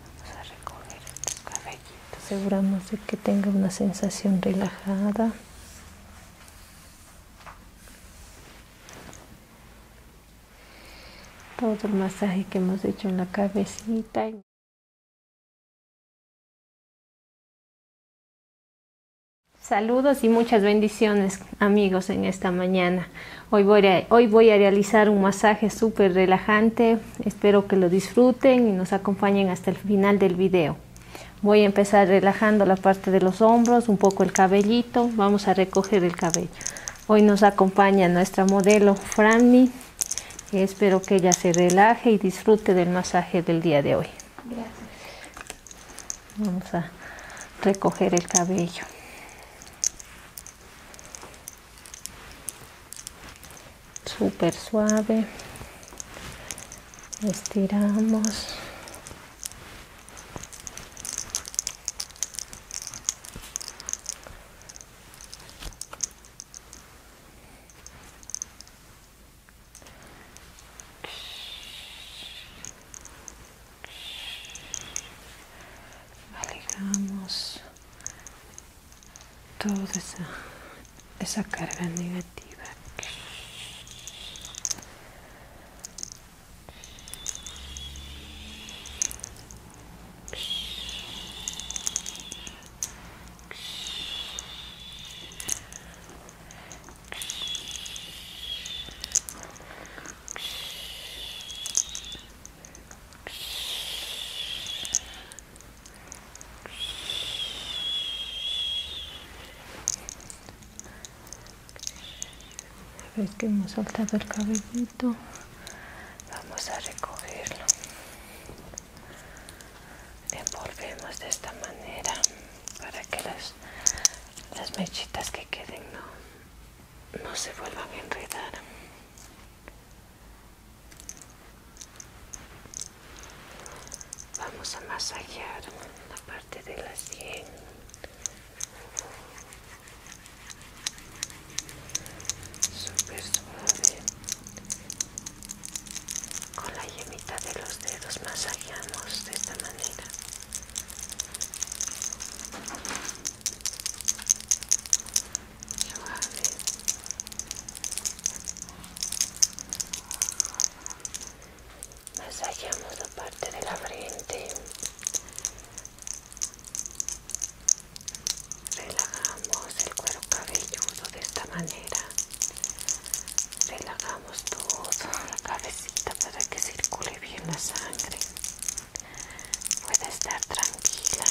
Vamos a recoger el cabellito, Aseguramos de que tenga una sensación relajada. Todo el masaje que hemos hecho en la cabecita. Saludos y muchas bendiciones amigos en esta mañana. Hoy voy a, realizar un masaje súper relajante. Espero que lo disfruten y nos acompañen hasta el final del video. Voy a empezar relajando la parte de los hombros, un poco el cabellito. Vamos a recoger el cabello. Hoy nos acompaña nuestra modelo Franny. Espero que ella se relaje y disfrute del masaje del día de hoy. Gracias. Vamos a recoger el cabello super suave estiramos alejamos toda esa, esa carga negativa. A ver que hemos soltado el cabellito vamos a recogerlo envolvemos de esta manera para que las, mechitas que queden no, no se vuelvan a enredar Vamos a masajear la parte de la sien. super suave. Con la yemita de los dedos masajeamos de esta manera suave masajeamos la parte de la frente relajamos el cuero cabelludo de esta manera relajamos toda la cabecita para que circule bien la sangre Puede estar tranquila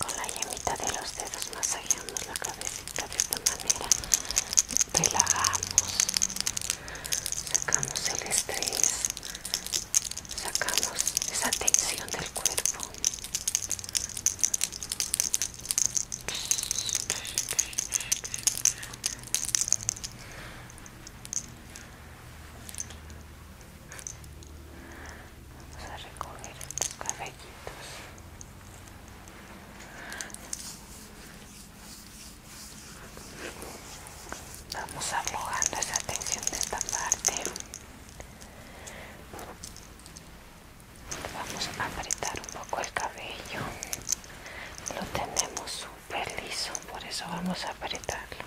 con la yemita de los dedos masajeamos la cabecita de esta manera. Relajamos. Sacamos el estrés. Sacamos esa tensión del cuerpo. Vamos a recoger estos cabellitos. Vamos aflojando esa tensión de esta parte vamos a apretar un poco el cabello lo tenemos súper liso por eso vamos a apretarlo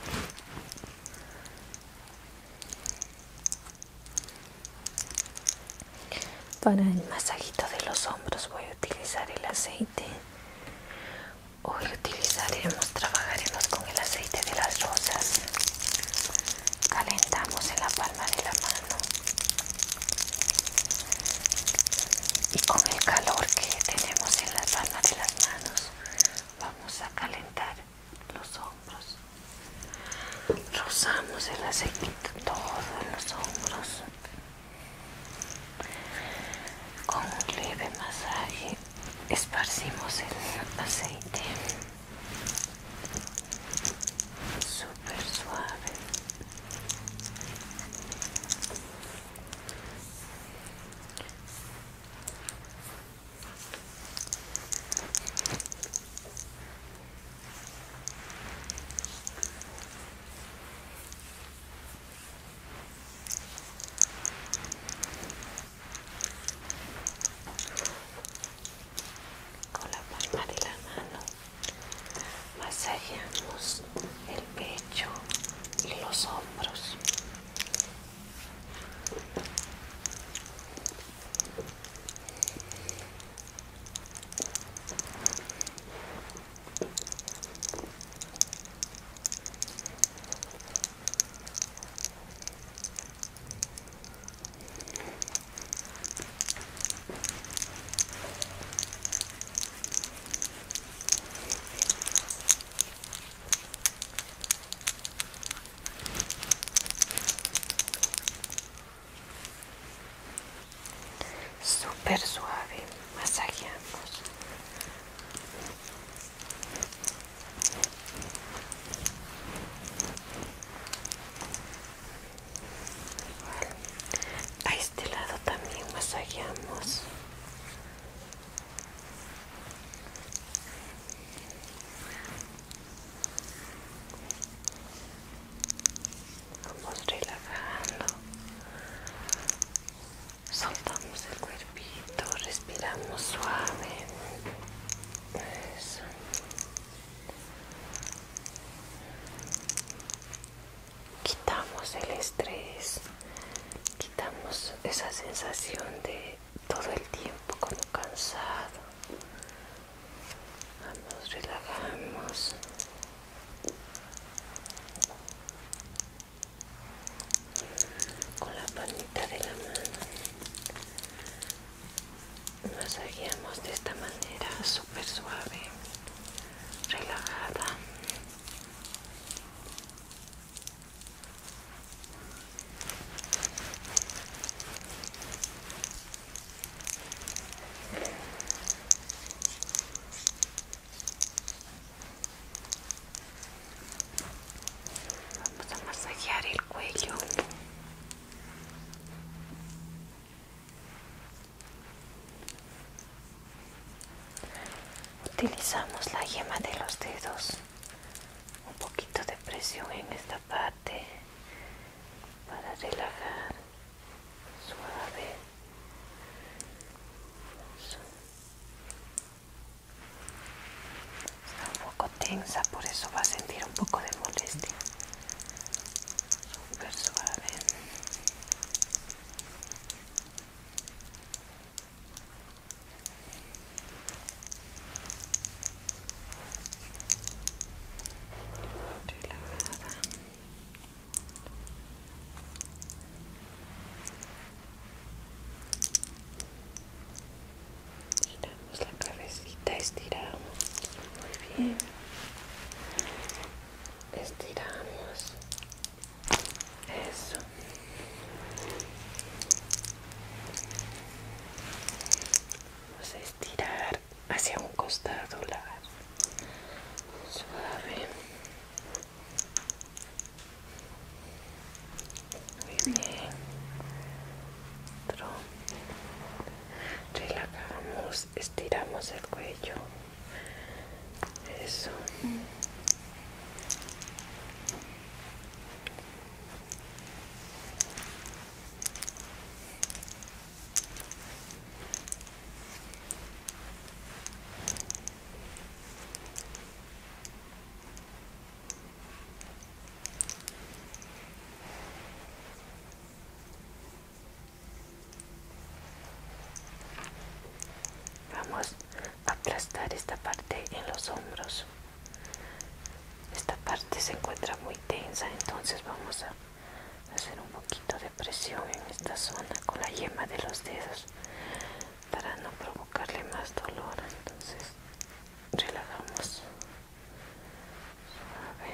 para el masajito de los hombros voy a utilizar el aceite hoy utilizaremos trabajaremos con el aceite de las rosas calentamos en la palma de la mano y con el calor que tenemos en las palmas de las manos vamos a calentar los hombros rozamos el aceite todos los hombros con un leve masaje esparcimos el aceite súper suave con la palma de la mano Masajeamos el pecho y los hombros super suave, masajeamos a este lado también masajeamos vamos relajando soltamos el cuerpito respiramos suave quitamos el estrés, quitamos esa sensación de todo el tiempo como cansado. vamos, relajamos. Con la panita de la mano nos masajeamos de esta manera muy suave, relajada. Vamos a masajear el cuello. Utilizamos la yema de los dedos, un poquito de presión en esta parte para relajar suave. Está un poco tensa, por eso va a sentir un poco de molestia super suave relajada estiramos la cabecita, estiramos muy bien estiramos eso vamos a estirar hacia un costado la suave muy bien otro relajamos estiramos el cuello. Eso. Vamos a aplastar esta parte en los hombros. Esta parte se encuentra muy tensa, entonces vamos a hacer un poquito de presión en esta zona con la yema de los dedos para no provocarle más dolor. Entonces relajamos. Suave.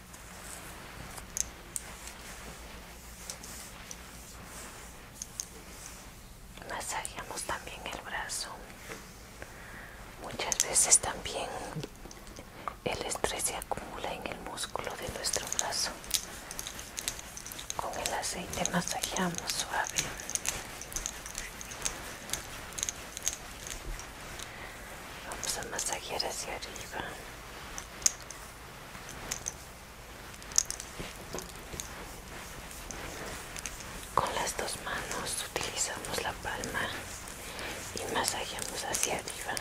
Masajeamos también el brazo. Muchas veces también el estrés se acumula en el músculo de nuestro brazo. Con el aceite masajeamos suave. Vamos a masajear hacia arriba con las dos manos utilizamos la palma y masajeamos hacia arriba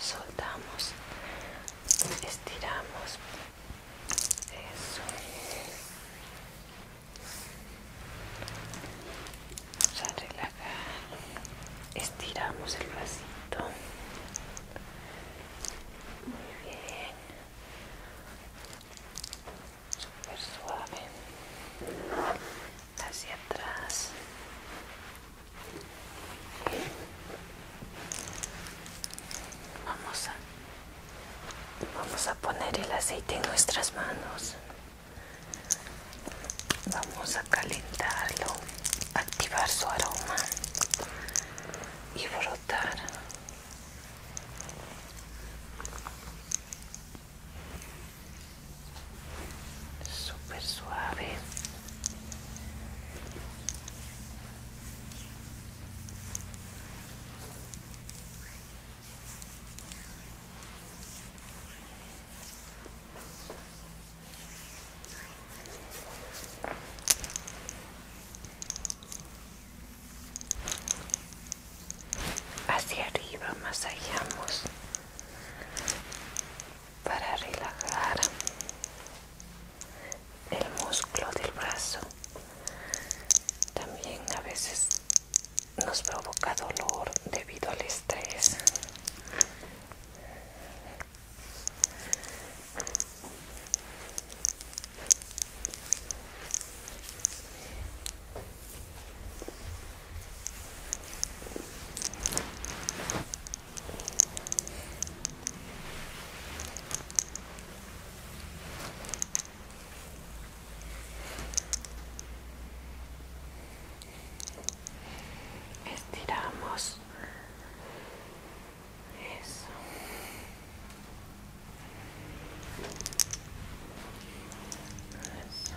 soltamos estiramos eso Vamos a relajar. Estiramos el vasito, Muy bien. Súper suave. Hacia atrás. Vamos a, vamos a poner el aceite en nuestras manos. Vamos a calentarlo, activar su aroma y brotar. super suave. Hacia arriba masajamos para relajar el músculo del brazo. También a veces nos provoca dolor debido al estrés estiramos eso eso eso eso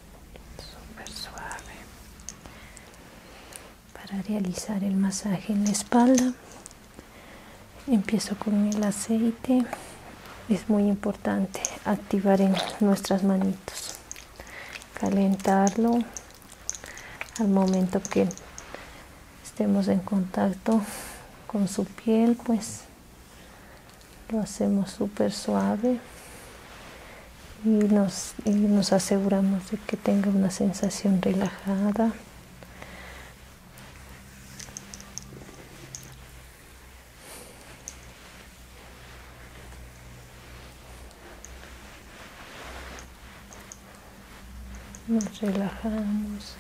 súper suave para realizar el masaje en la espalda empiezo con el aceite es muy importante activar en nuestras manitos calentarlo al momento que estemos en contacto con su piel pues lo hacemos súper suave y nos, y nos aseguramos de que tenga una sensación relajada. Nos relajamos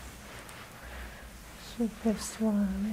súper suave.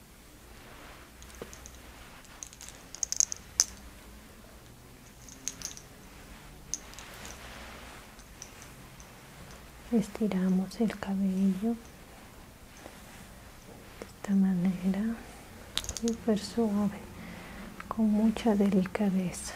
estiramos el cabello de esta manera super suave con mucha delicadeza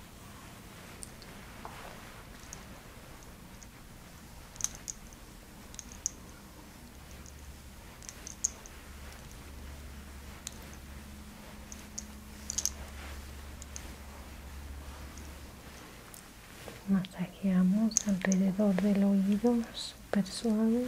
masajeamos alrededor del oído súper suave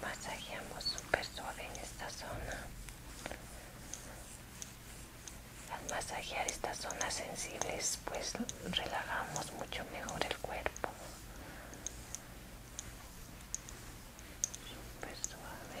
Masajeamos súper suave en esta zona. Al masajear estas zonas sensibles, pues relajamos mucho mejor el cuerpo. super suave.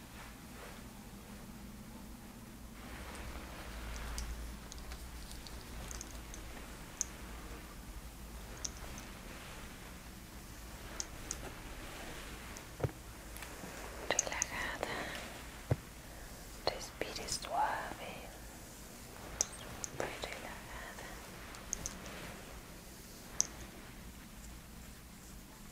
relajada respire suave muy relajada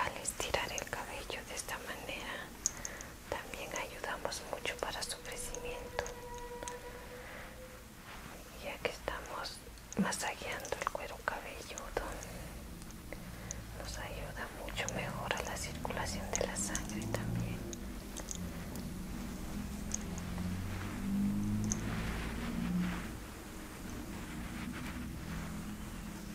Al estirar el cabello de esta manera también ayudamos mucho para su crecimiento ya que estamos masajeando el cuero cabelludo nos ayuda mucho mejor a la circulación de la sangre también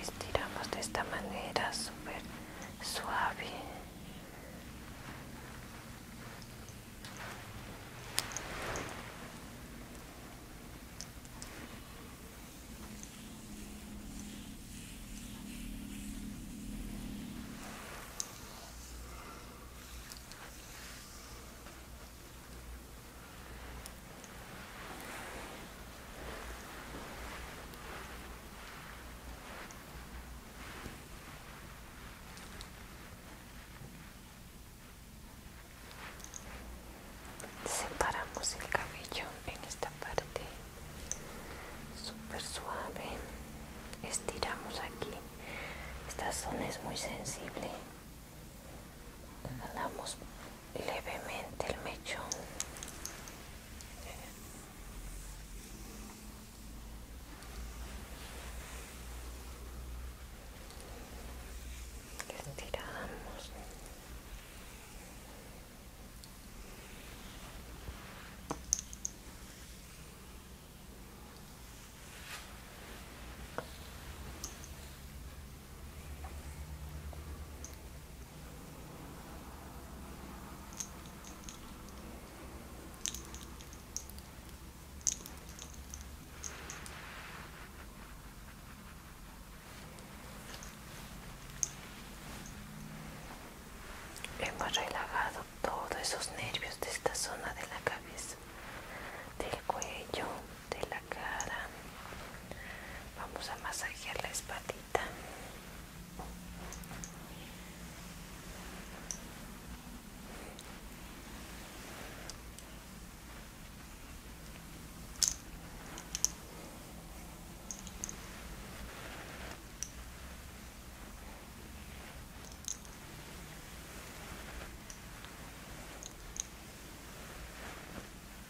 estiramos de esta manera súper suave Separamos el cabello en esta parte super suave, estiramos aquí. Esta zona es muy sensible Agarramos levemente el mechón estiramos Hemos relajado todos esos nervios de esta zona de la cabeza, del cuello, de la cara vamos a masajear la espadita.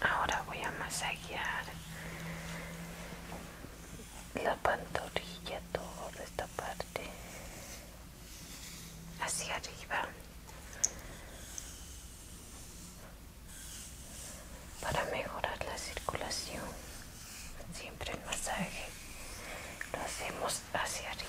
Ahora voy a masajear la pantorrilla, toda esta parte hacia arriba para mejorar la circulación siempre el masaje lo hacemos hacia arriba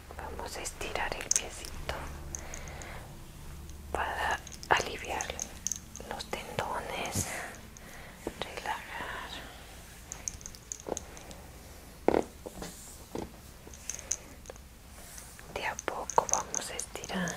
Vamos a estirar el piecito para aliviar los tendones, relajar. De a poco vamos estirando.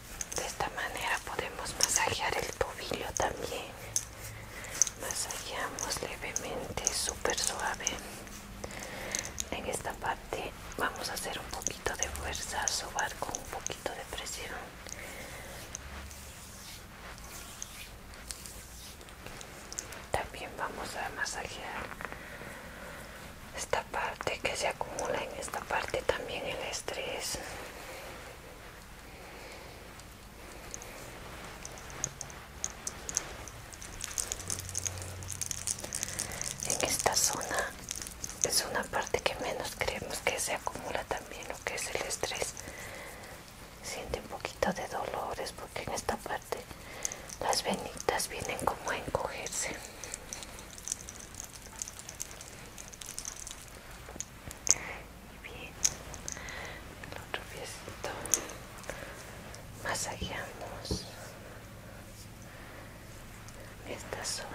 de esta manera podemos masajear el tobillo también masajeamos levemente súper suave en esta parte vamos a hacer un poquito de fuerza sobar con un poquito de presión también vamos a masajear esta parte que se acumula en esta parte también el estrés en esta zona es una parte que menos creemos que se acumula también lo que es el estrés. Siente un poquito de dolores porque en esta parte las venitas vienen como a encogerse y bien el otro piecito masajeamos esta zona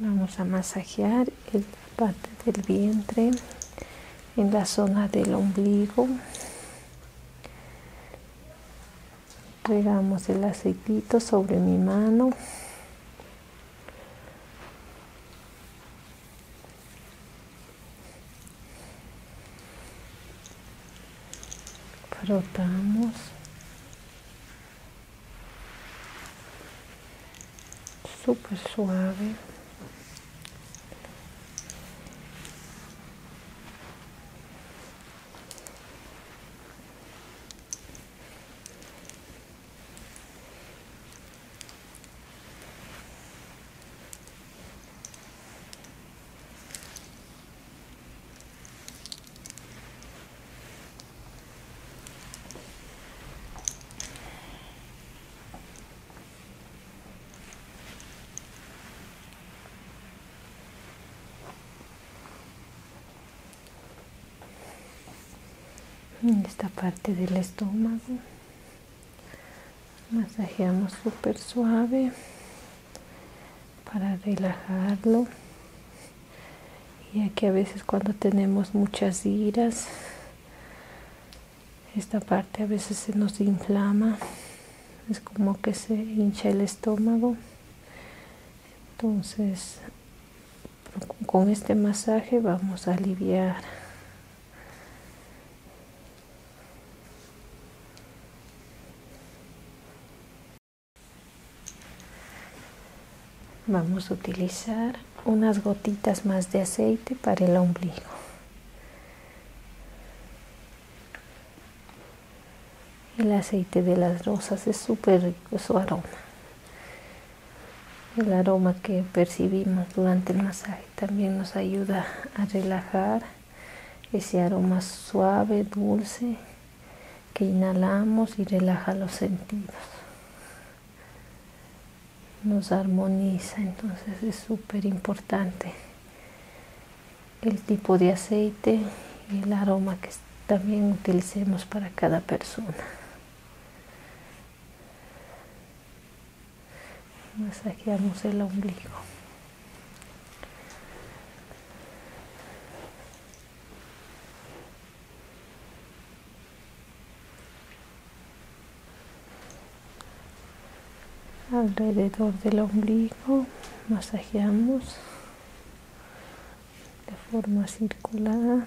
Vamos a masajear el la parte del vientre, en la zona del ombligo. pegamos el aceitito sobre mi mano frotamos super suave en esta parte del estómago masajeamos súper suave para relajarlo y aquí a veces cuando tenemos muchas iras esta parte a veces se nos inflama es como que se hincha el estómago entonces con este masaje vamos a aliviar Vamos a utilizar unas gotitas más de aceite para el ombligo. El aceite de las rosas es súper rico su aroma. El aroma que percibimos durante el masaje también nos ayuda a relajar ese aroma suave, dulce que inhalamos y relaja los sentidos. Nos armoniza, entonces es súper importante el tipo de aceite y el aroma que también utilicemos para cada persona masajeamos el ombligo alrededor del ombligo masajeamos de forma circular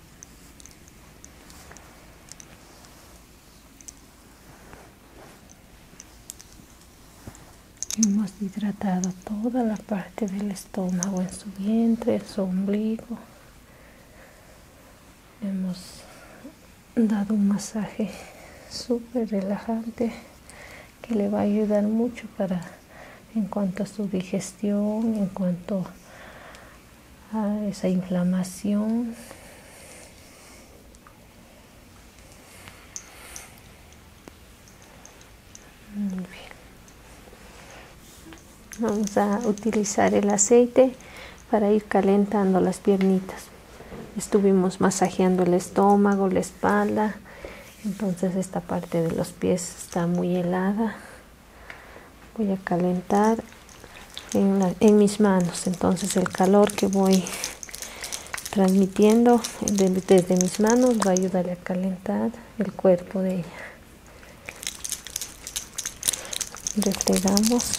Hemos hidratado toda la parte del estómago, en su vientre, en su ombligo. Hemos dado un masaje súper relajante que le va a ayudar mucho para en cuanto a su digestión, en cuanto a esa inflamación. Vamos a utilizar el aceite para ir calentando las piernitas. Estuvimos masajeando el estómago, la espalda, entonces esta parte de los pies está muy helada voy a calentar en, mis manos entonces el calor que voy transmitiendo desde mis manos va a ayudar a calentar el cuerpo de ella refregamos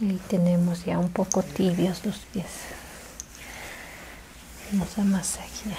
y tenemos ya un poco tibios los pies vamos a masajear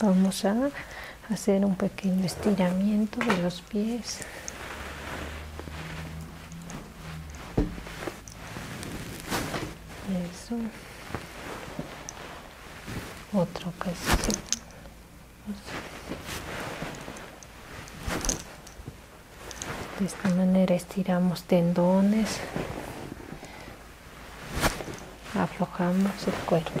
Vamos a hacer un pequeño estiramiento de los pies eso otro de esta manera estiramos tendones aflojamos el cuerpo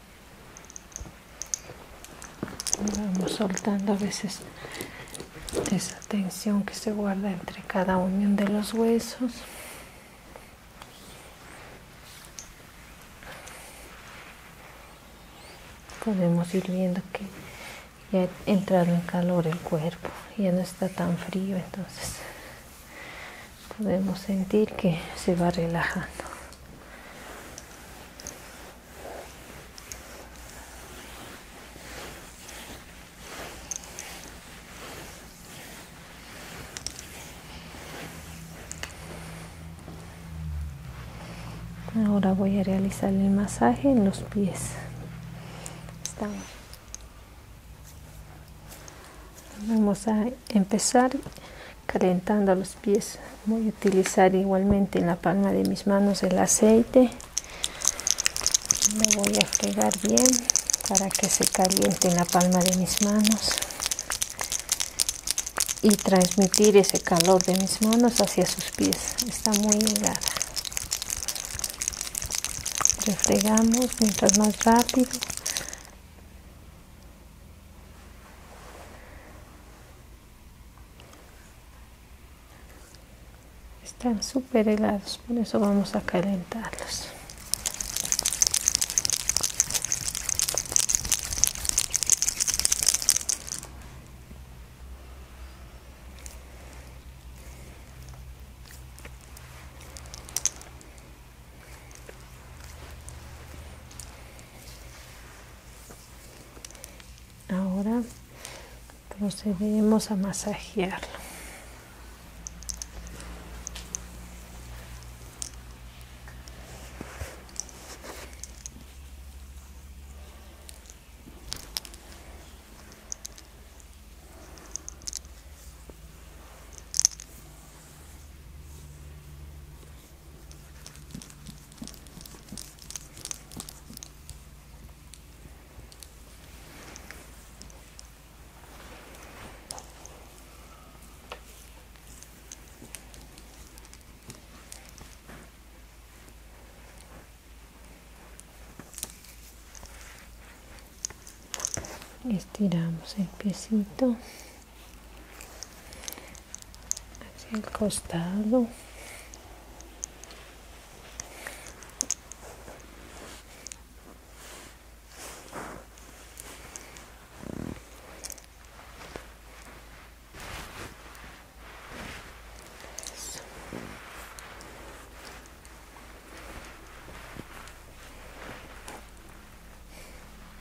vamos soltando a veces esa tensión que se guarda entre cada unión de los huesos podemos ir viendo que ya ha entrado en calor el cuerpo ya no está tan frío entonces podemos sentir que se va relajando. Ahora voy a realizar el masaje en los pies vamos a empezar calentando los pies voy a utilizar igualmente en la palma de mis manos el aceite lo voy a fregar bien para que se caliente en la palma de mis manos y transmitir ese calor de mis manos hacia sus pies está muy ligada refregamos mientras más rápido están súper helados, por eso vamos a calentarlos. Ahora procedemos a masajearlo estiramos el piecito hacia el costado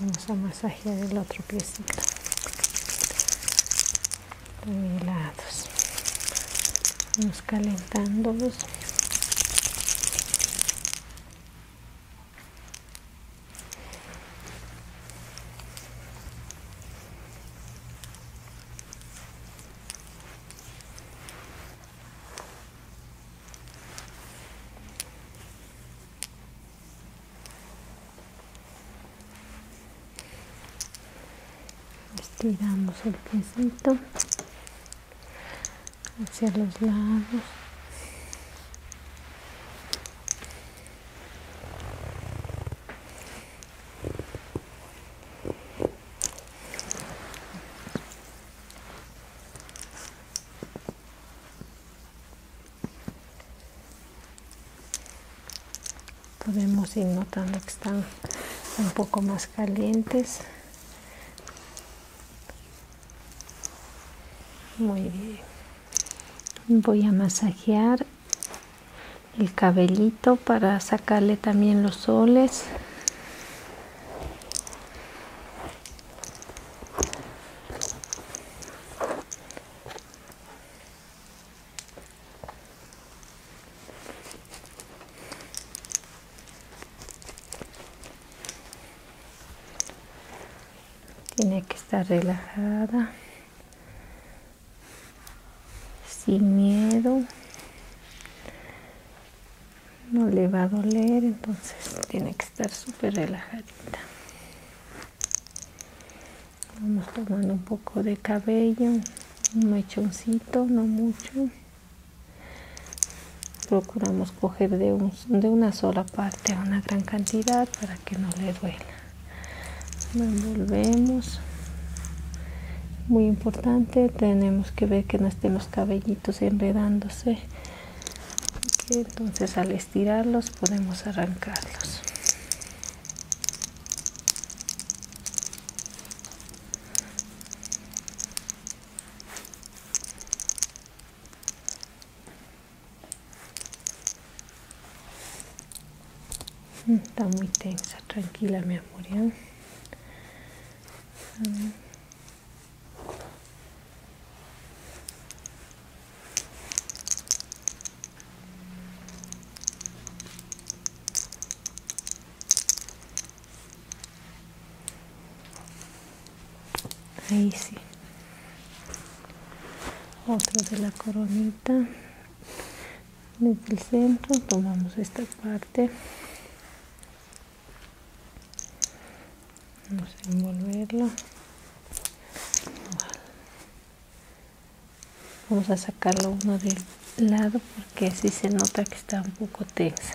vamos a masajear el otro piecito de lados nos calentándolos. estiramos el piecito hacia los lados podemos ir notando que están un poco más calientes muy bien. Voy a masajear el cabellito para sacarle también los soles tiene que estar relajada sin miedo no le va a doler entonces tiene que estar súper relajadita vamos tomando un poco de cabello un mechoncito no mucho procuramos coger de, un, de una sola parte una gran cantidad para que no le duela lo envolvemos muy importante tenemos que ver que no estén los cabellitos enredándose entonces al estirarlos podemos arrancarlos Mm, está muy tensa, tranquila mi amor ahí sí otro de la coronita desde el centro tomamos esta parte vamos a envolverlo vamos a sacarlo uno del lado porque así se nota que está un poco tensa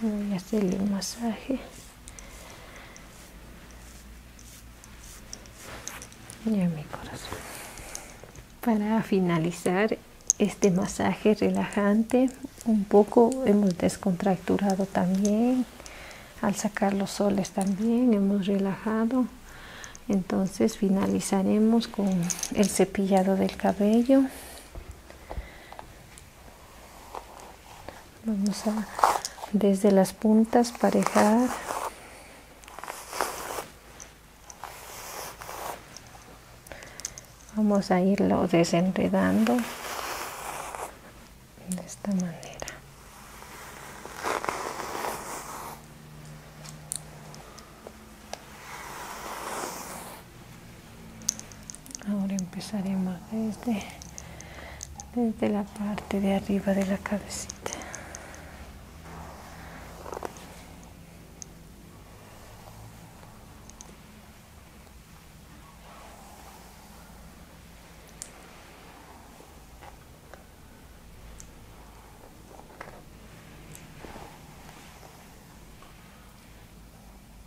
voy a hacerle un masaje mi para finalizar este masaje relajante un poco hemos descontracturado también al sacar los soles también hemos relajado entonces finalizaremos con el cepillado del cabello vamos a desde las puntas parejar vamos a irlo desenredando de esta manera Ahora empezaremos desde, desde la parte de arriba de la cabecita.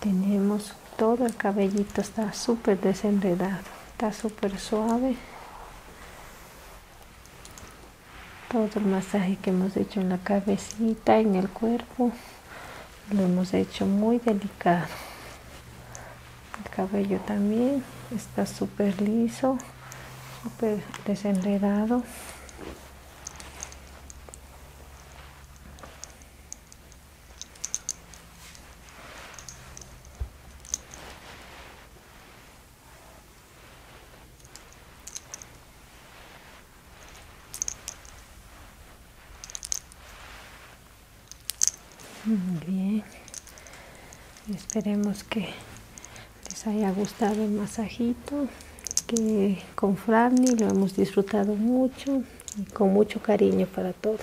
Tenemos todo el cabellito, está súper desenredado, está súper suave todo el masaje que hemos hecho en la cabecita en el cuerpo lo hemos hecho muy delicado el cabello también está súper liso súper desenredado muy bien. Esperemos que les haya gustado el masajito, que con Franny lo hemos disfrutado mucho y con mucho cariño para todos.